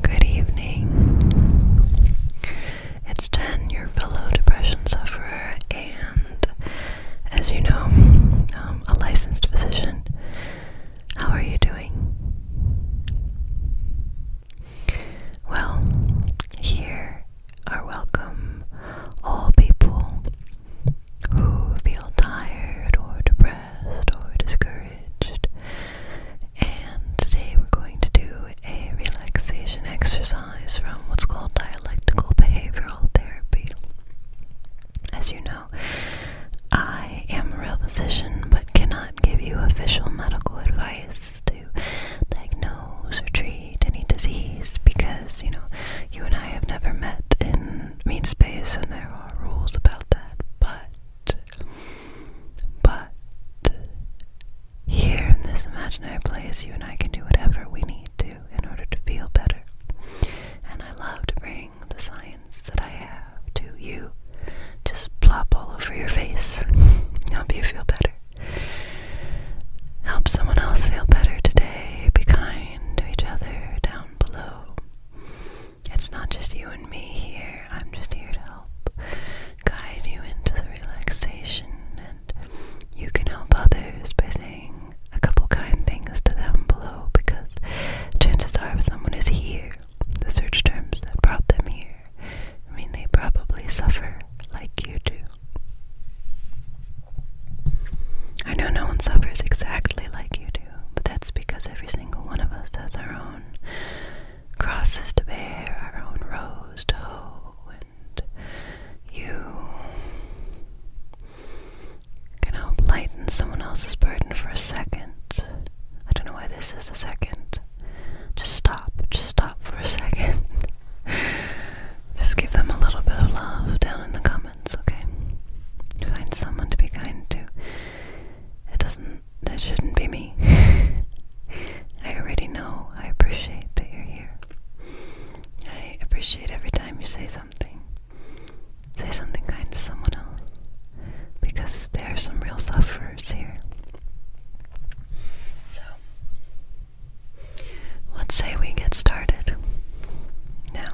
Good evening. It's ten. your fellow depression sufferer, and as you know, um, a licensed physician. How are you doing? Well, here are welcome all people who feel tired or depressed or discouraged. And today we're going to do a relaxation exercise from what's called dialectical behavioral therapy. As you know, I am a real physician but cannot give you official medical advice to diagnose or treat any disease because, you know, you and I have never met in mean space and there are rules about that. But but here in this imaginary place, you and I can do whatever we need to in order to feel better. And I love to bring the science that I have to you. Just plop all over your face, help you feel better. Help someone else feel better today. Be kind to each other down below. It's not just you and me here. I'm just here to help guide you into the relaxation, and you can help others by saying a couple kind things to them below because chances are if someone is here, the search terms that brought them here, I mean, they probably suffer like you do. I know no one suffers exactly like you do, but that's because every single one of us has our own crosses to bear, our own rose to hoe, and you can help lighten someone else's burden for a second. I don't know why this is a second. Just stop. Just stop for a second. Just give them a little bit of love down in the comments, okay? Find someone to be kind to it doesn't it shouldn't be me. I already know. I appreciate that you're here. I appreciate every time you say something. Say something kind to someone else. Because there are some real sufferers here. So, let's say we get started. Now,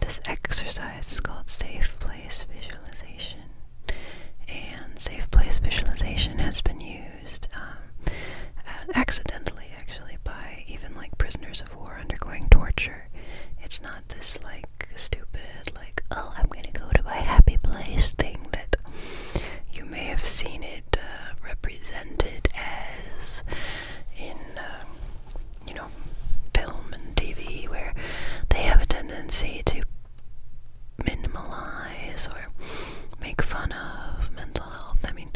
this exercise it's called Safe Place Visualization. And Safe Place Visualization has been used um, accidentally, actually, by even like prisoners of war undergoing torture. It's not this like stupid, like, oh, I'm gonna go to my happy place thing that you may have seen it uh, represented as in. Um, you know, film and TV where they have a tendency to minimalize or make fun of mental health. I mean,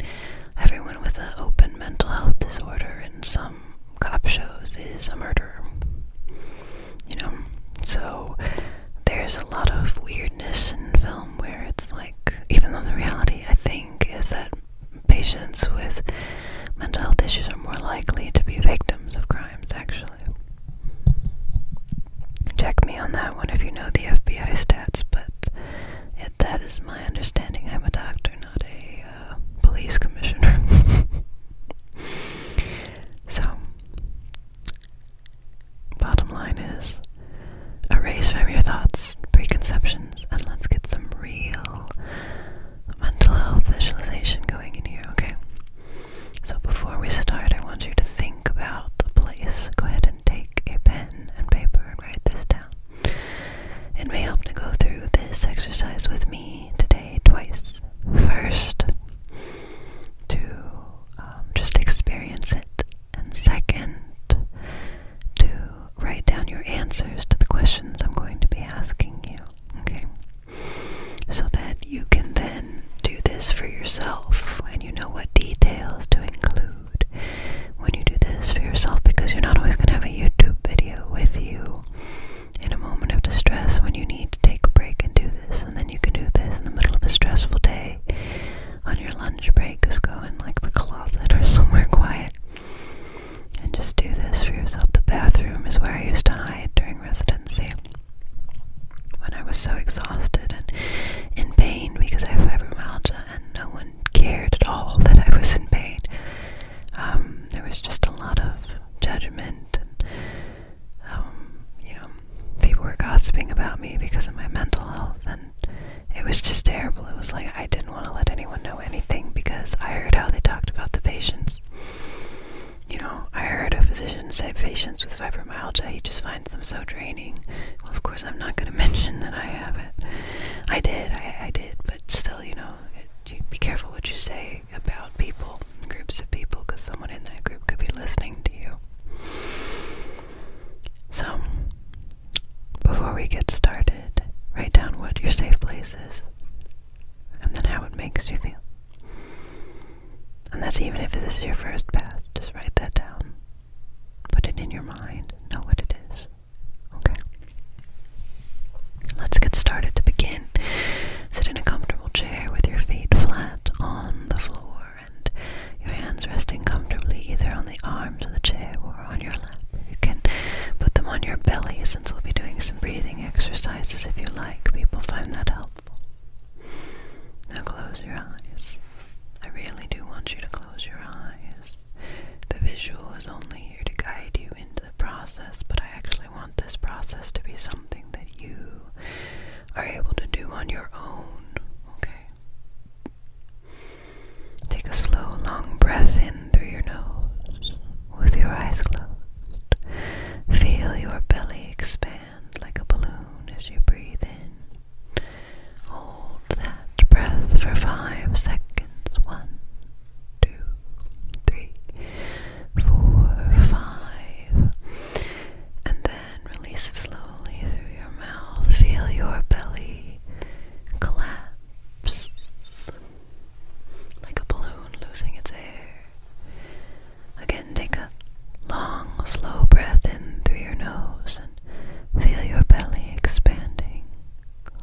everyone with an open mental health disorder in some cop shows is a murderer. You know? So there's a lot of weirdness in film where it's like, even though the reality, I think, is that patients with Mental health issues are more likely to be victims of crimes, actually. Check me on that one if you know the FBI stats, but it, that is my understanding. I'm a doctor, not a uh, police commissioner. so, bottom line is erase from your thoughts preconceptions and let's get some real mental health visualization going in here, okay? So before we start, I want you to think about a place. Go ahead and take a pen and paper and write this down. It may help to go through this exercise with me today twice. First, to um, just experience it, and second, to write down your answers to the questions I'm going to be asking you. Okay? so that you can then do this for yourself and you know what details to include when you do this for yourself because you're not always going to have a YouTube video with you in a moment of distress when you need to take a break and do this and then you can do this in the middle of a stressful day on your lunch break just go in like the closet or somewhere quiet and just do this for yourself. The bathroom is where I used to hide during residency when I was so exhausted and in pain because I have fibromyalgia and no one cared at all that I was in pain. Um, there was just a lot of judgment and, um, you know, people were gossiping about me because of my mental health and it was just terrible. It was like I didn't want to let anyone know anything because I heard how they talked about the patients. You know, I heard a physician say patients with fibromyalgia, he just finds them so draining. Well, of course, I'm not going to mention that I have it. I did, I, did, but still, you know, be careful what you say about people, groups of people, because someone in that group could be listening to you. So, before we get started, write down what your safe place is and then how it makes you feel. And that's even if this is your first bath, just write that down. Put it in your mind, know what it is. Okay? Let's get started. To begin, sit in a comfortable chair with your feet flat on the floor and your hands resting comfortably either on the arms of the chair or on your lap. You can put them on your bellies we'll be doing some breathing exercises if you like. People find that helpful. Now close your eyes. I really do want you to close your eyes. The visual is only here to guide you into the process, but I actually want this process to be something that you are able to do on your own. Okay? Take a slow, long breath in through your nose with your eyes closed. Feel your belly expand like a balloon as you breathe in. Hold that breath for five seconds. One, two, three, four, five. And then release it slowly through your mouth. Feel your belly collapse like a balloon losing its air. Again, take a long, slow breath in through your nose and feel your belly expanding.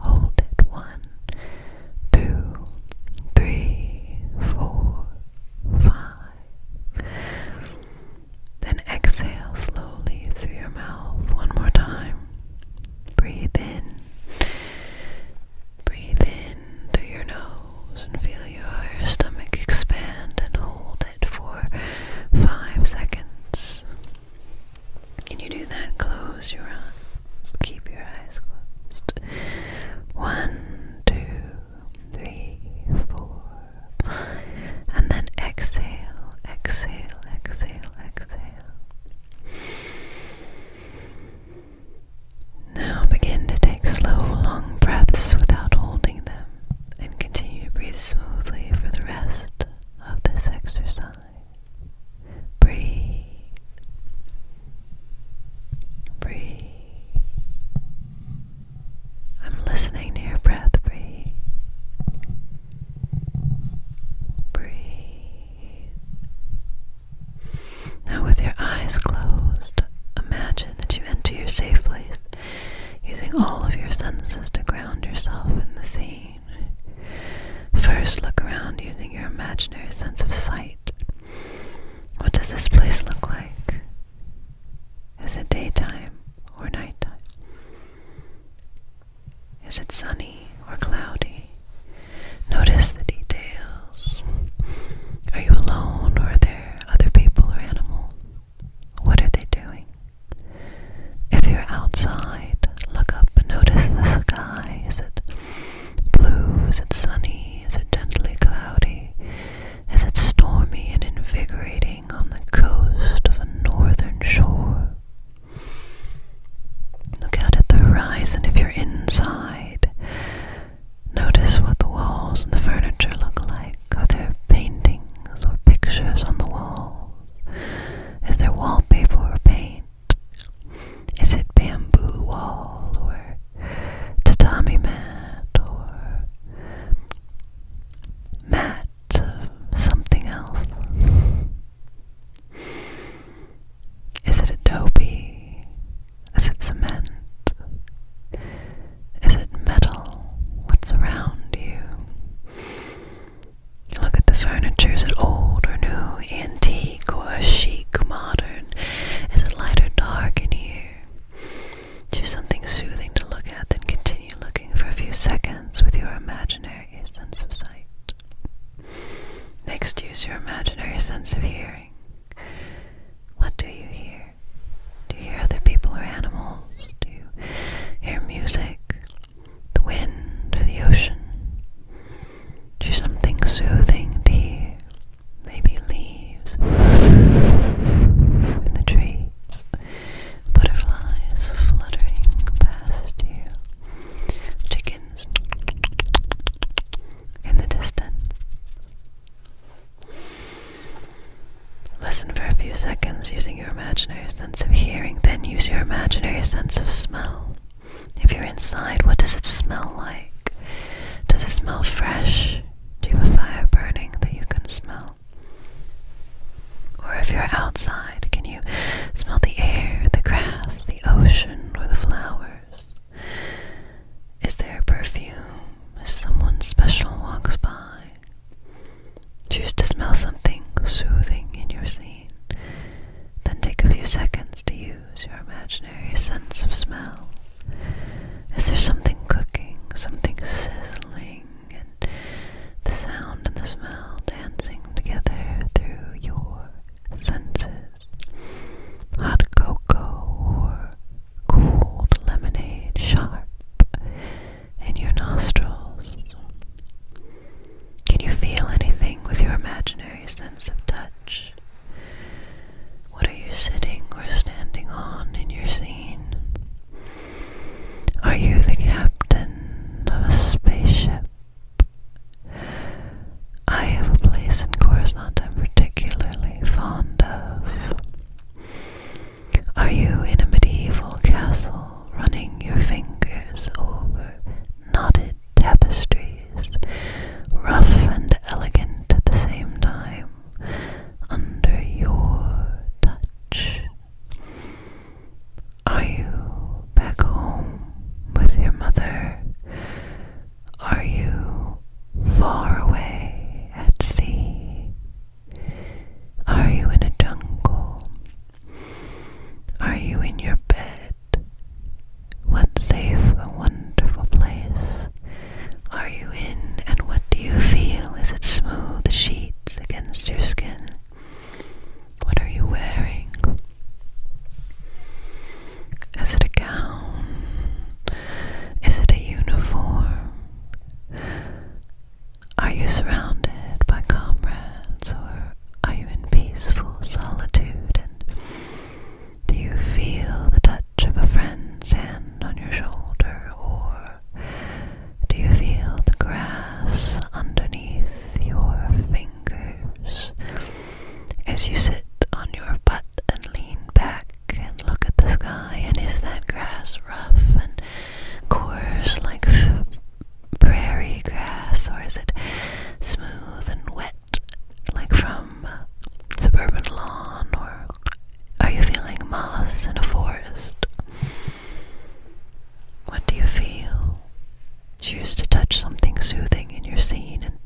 Hold it. One, two, three, four, five. Then exhale slowly through your mouth one more time. Breathe in Breathe in through your nose and feel your stomach expand and hold it for five seconds. Can you do that? Close your eyes. Keep your eyes closed. One, two, three, four, five. And then exhale, exhale, exhale, exhale. Now begin to take slow, long breaths without holding them and continue to breathe smoothly for the rest of this exercise. Breathe. Breathe. I'm listening to your breath. Breathe. Breathe. Now, with your eyes closed, imagine that you enter your safe place using all of your senses to ground yourself in the scene. First, look around using your imaginary sense of sight. What does this place look like? Is it daytime or nighttime? Is it sunny or cloudy? Notice the details are you alone or are there other people or animals? What are they doing? If you're outside, look up and notice the sky. Is it blue? Is it sunny? Is it gently cloudy? Is it stormy and invigorating on the coast of a northern shore? Look out at the horizon if you're inside. Notice what the walls and the furniture look like. Are there paintings or pictures on the walls? Is there wallpaper or paint? Is it bamboo wall or tatami mat or mat of something else? Is it adobe is it cement? Is it metal? What's around you? you look at the furniture. Is it old or new, antique or chic, modern? Is it light or dark in here? Choose something soothing to look at, then continue looking for a few seconds with your imaginary sense of sight. Next, use your imaginary sense of hearing. What do you hear? Do you hear other people or animals? Do you hear music, the wind, or the ocean? Do you something soothing to Maybe leaves in the trees, butterflies fluttering past you, chickens in the distance, Listen for a few seconds using your imaginary sense of hearing, then use your imaginary sense of smell. If you're inside, what does it smell like? Does it smell fresh? Do you have a fire burning that you can smell? Or if you're outside, can you smell the air, the grass, the ocean, or the flowers? Is there perfume as someone special walks by? Choose to smell something soothing in your scene. Then take a few seconds to use your imaginary sense of smell. Is there something cooking, something sizzling, and the sound and the smell dancing together through your senses? hot cocoa, or cold lemonade sharp in your nostrils. Can you feel anything with your imaginary sense of touch? What are you sitting or standing on in your scene? Are you the captain of a spaceship? I have a place in Coruscant I'm particularly fond of. Are you in a medieval castle running your fingers over knotted tapestries, rough and elegant at the same time, under your touch? Are you back home with your mother, are you far away at sea? Are you in a jungle? Are you in your bed? What safe and wonderful place are you in, and what do you feel? Is it smooth sheets against your skin? What are you wearing? Is it a gown? Is it a uniform? Are you surrounded by comrades or are you in peaceful solitude? And do you feel the touch of a friend's hand on your shoulder or do you feel the grass underneath your fingers? As you sit on your butt and lean back, and look at the sky, and is that grass rough and coarse like prairie grass, or is it smooth and wet like from suburban lawn, or are you feeling moss in a forest? What do you feel? Choose to touch something soothing in your scene and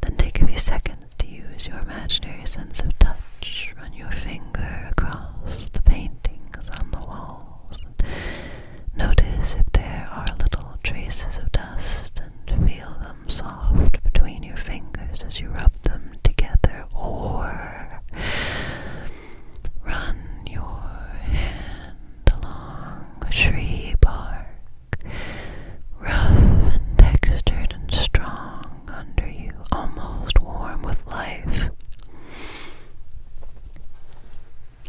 then take a few seconds to use your imaginary sense of touch, run your finger across the paintings on the walls, and notice if there are little traces of dust, and feel them soft between your fingers as you rub them together, or run your hand along a tree bark, rough and textured and strong under you, almost warm with life.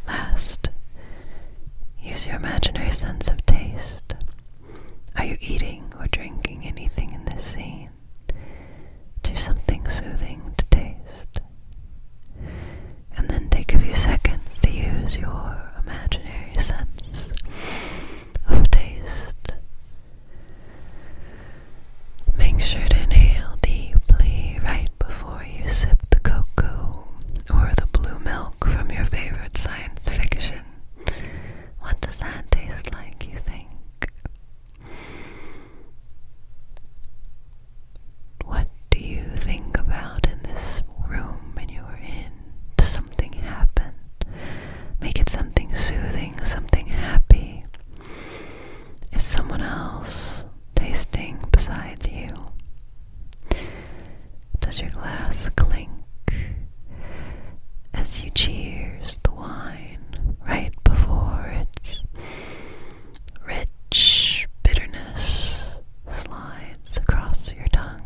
Last, use your imaginary sense of taste. Are you eating or drinking anything in this scene? Do something soothing to taste. And then take a few seconds to use your imaginary sense of taste. Make sure to inhale deeply right before you sip the cocoa or the blue milk from your favorite science fiction. What does that taste like, you think? What do you think about in this room when you were in? Does something happen? Make it something soothing, something happy. Is someone else tasting beside you? Does your glass clink as you cheers the wine right before its rich bitterness slides across your tongue?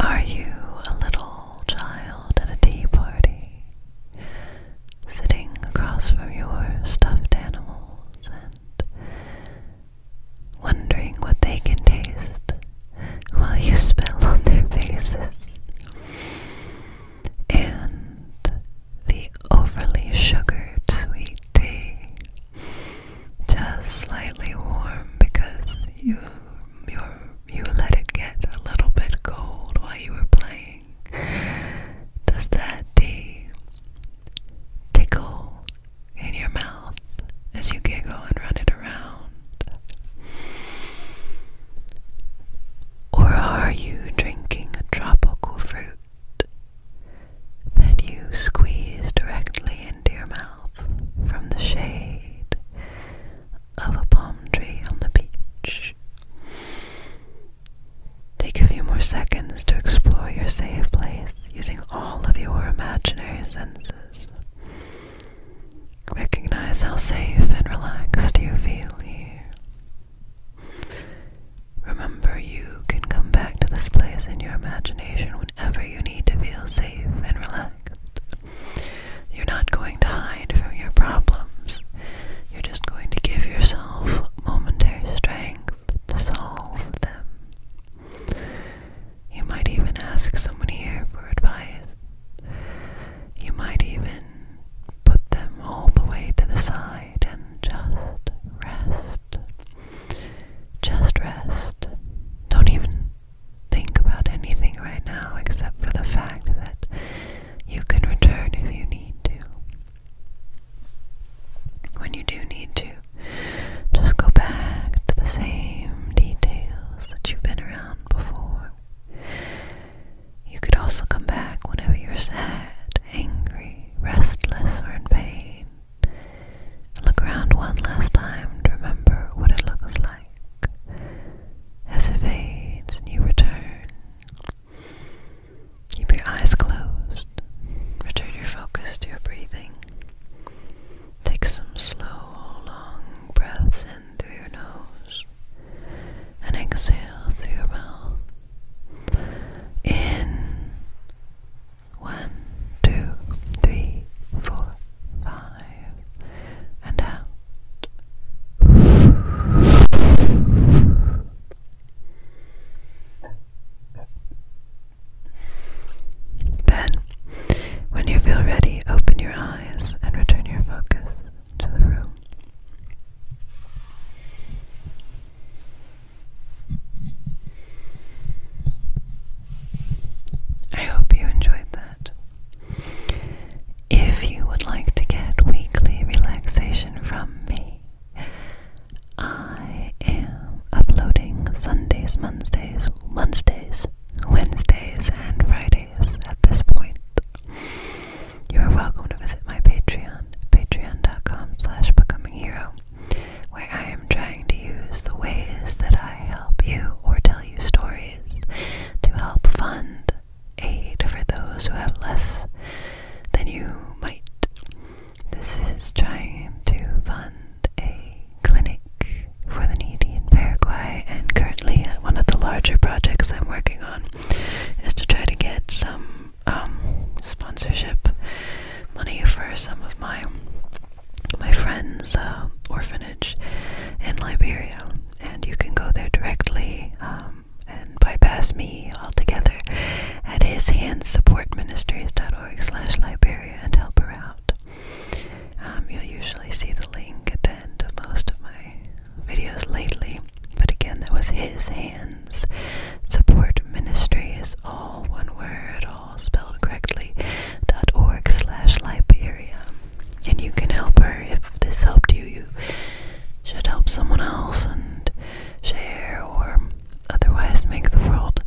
Are you a little child at a tea party, sitting across from your stuffed animals and wondering what they can taste while you spill on their faces? And the overly sugared sweet tea just slightly warm because you you you let it get a little bit cold while you were playing. Does that tea tickle in your mouth as you giggle and run it around? Or are you drinking a tropical fruit? that you squeeze directly into your mouth from the shade of a palm tree on the beach. Take a few more seconds to explore your safe place using all of your imaginary senses. Recognize how safe and relaxed you feel here. Remember, you can come back to this place in your imagination whenever you need to feel safe and relaxed. You're not going to hide from your problems. You're just going to give yourself momentary strength to solve them. You might even ask someone here for advice. You might even put them all the way to the side and just rest. Just rest. Don't even think about anything right now except for the fact that you can return if you need to. When you do need to, just go back to the same details that you've been around before. You could also come back whenever you're sad, angry, restless, or in pain. Look around one last time to remember what it looks like. As it fades and you return, keep your eyes closed. Return your focus to your breathing. Take some slow, long breaths in through your nose and exhale through your mouth. In one, two, three, four, five, and out. Then, when you feel ready, open your eyes and return your focus to the room. I hope you enjoyed that. If you would like to get weekly relaxation from me, I am uploading Sundays, Mondays, Wednesdays, Wednesdays, and Fridays at this point. You are welcome to visit my Patreon, patreon.com slash becoming where I am trying to use the ways that I help you or tell you stories to help fund aid for those who have less than you might. This is trying to fund a clinic for the needy in Paraguay, and currently, uh, one of the larger projects I'm working on is to try to get some um, sponsorship money for some of my my friend's uh, orphanage in Liberia, and you can go there directly um, and bypass me altogether at his hands support ministries dot org slash Liberia and help her out. Um, you'll usually see the link at the end of most of my videos lately, but again, that was his hands. Support ministries, all one word, Hall, spelled correctly, dot org slash Liberia. And you can help her if this helped you. You should help someone else and share or otherwise make the world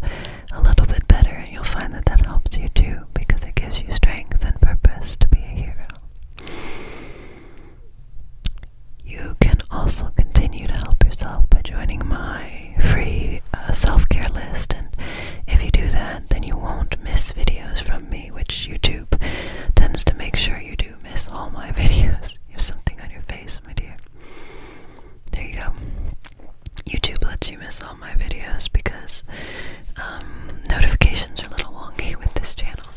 a little bit better. And you'll find that that helps you too because it gives you strength and purpose to be a hero. You can also continue to help yourself by joining my free uh, self-care list and if you do that then you won't miss videos from me which YouTube tends to make sure you do miss all my videos. You have something on your face, my dear. There you go. YouTube lets you miss all my videos because um, notifications are a little wonky with this channel.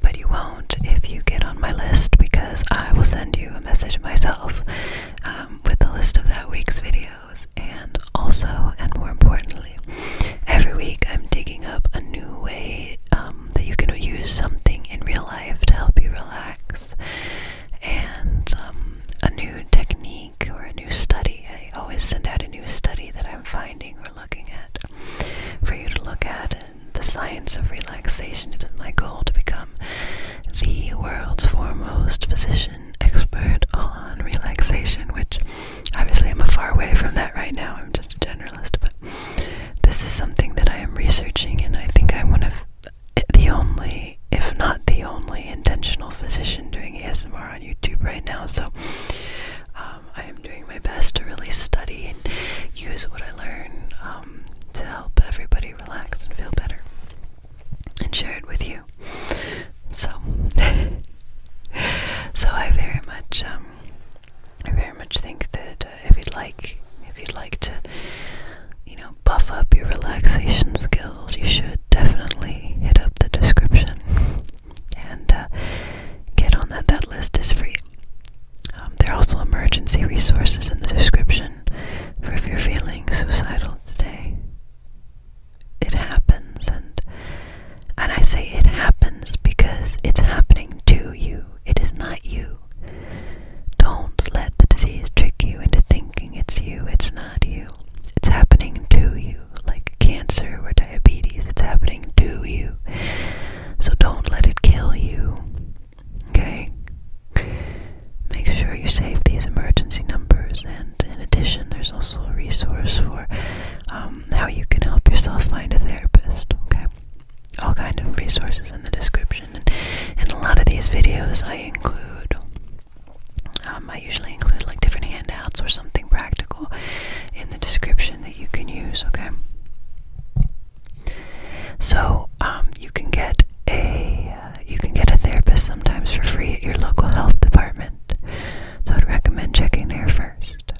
But you won't if you get on my list because I will send you a message myself um, with the list of that week's videos and also, and more importantly, every week I'm digging up a new way um, that you can use something in real life to help you relax, and um, a new technique or a new study. I always send out a new study that I'm finding or looking at for you to look at. And the science of relaxation It is my goal to become the world's foremost physician expert on relaxation, which obviously I'm far away from that right now. I'm just a generalist, but this is something that I am researching, and I think I'm one of the only, if not the only, intentional physician doing ASMR on YouTube right now. So um, I am doing my best to really study and use what I learn um, to help everybody relax and feel better and share it with you. So, so I very much, um, I very much think that uh, if you'd like, if you'd like to, you know, buff up your relaxation skills, you should definitely hit up the description and uh, get on that. That list is free. Um, there are also emergency resources in the description for if you're feeling suicidal today it happens and and I say it happens because it's happening to you. It is not you. Don't let the disease trick you into thinking it's you. It's not you. It's happening to you. Like cancer or diabetes, it's happening to you. So don't let it kill you. Okay? Make sure you save these emergency numbers and in addition, there's also a resource for um, how you can help yourself find a therapist. Okay, all kind of resources in the description, and in a lot of these videos, I include. Um, I usually include like different handouts or something practical in the description that you can use. Okay, so um, you can get a uh, you can get a therapist sometimes for free at your local health department, so I'd recommend checking there first.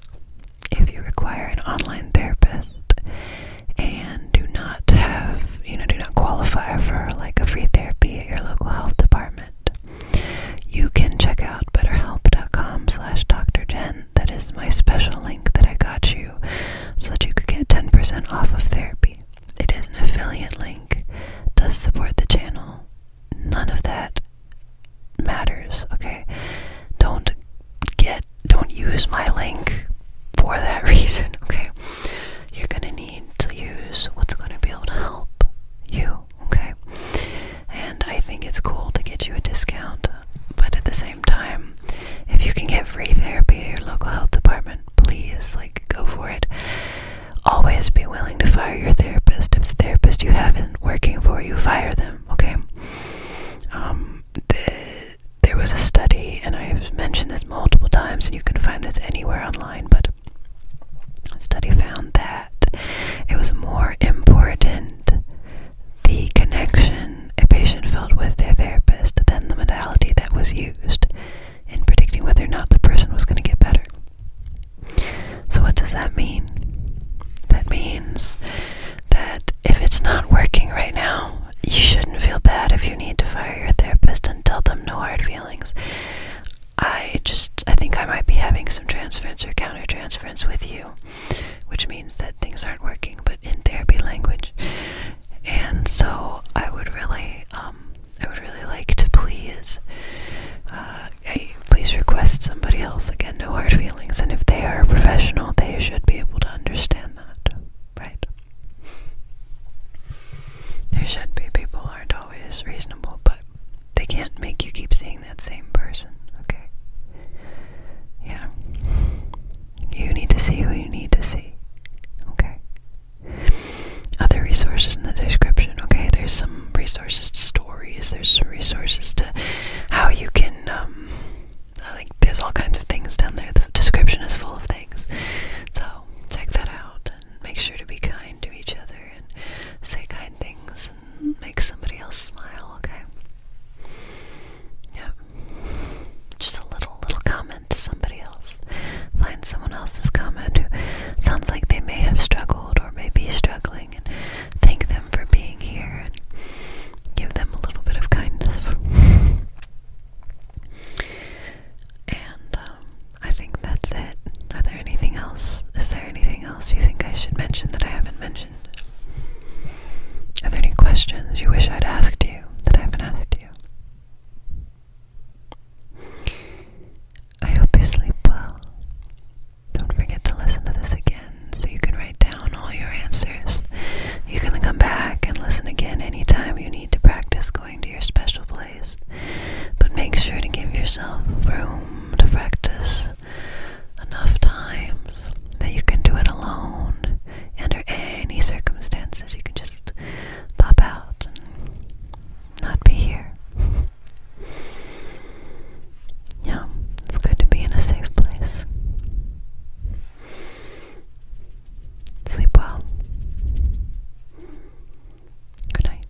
If you require an online therapist and do not have, you know, do not qualify for like a free therapy at your local health department, you can check out betterhelp.com slash Doctor Jen. That is my special link that I got you so that you could get 10% off of therapy. It is an affiliate link, does support the channel, none of that matters, okay? Don't get, don't use my link for that reason, okay? You're gonna need to use what's gonna be able to help you, okay? And I think it's cool to get you a discount, but at the same time, if you can get free therapy at your local health department, please, like, go for it. Always be willing to fire your therapist. If the therapist you have is working for you, fire them, okay? Um, there was a study, and I've mentioned this multiple times, and you can find this anywhere online, but a study found that it was more important the connection a patient felt with their therapist than the modality that was used in predicting whether or not the person was going to get better. So, what does that mean? That means that if it's not working right now, you shouldn't feel bad if you need to fire your therapist and tell them no hard feelings. I just, I think I might be having some transference or countertransference with you, which means that things aren't working, but in therapy language. And so I would really um, I would really like to please, uh, I, please request somebody else. Again, no hard feelings. And if they are a professional, they should be able to understand that, right? There should be. People aren't always reasonable, but they can't make you keep seeing that same person, okay? Yeah. You need to see who you need to see, okay? other resources in the description. Okay, there's some resources to stories. There's some resources to how you can. Um, like there's all kinds of things down there. The description is full of things. So check that out and make sure to be kind to each other and say kind things and make somebody else smile. Okay. Yep. Just a little little comment to somebody else. Find someone else's comment who sounds like they may have struggled or maybe struggling and thank them for being here and give them a little bit of kindness. and um, I think that's it. Are there anything else? Is there anything else you think I should mention that I haven't mentioned? Are there any questions you wish I'd asked you that I haven't asked you? I hope you sleep well. Don't forget to listen to this again so you can write down all your answers. You can come back and listen again any time you need to practice going to your special place. But make sure to give yourself room to practice enough times that you can do it alone. Under any circumstances, you can just pop out and not be here. Yeah, it's good to be in a safe place. Sleep well. Good night.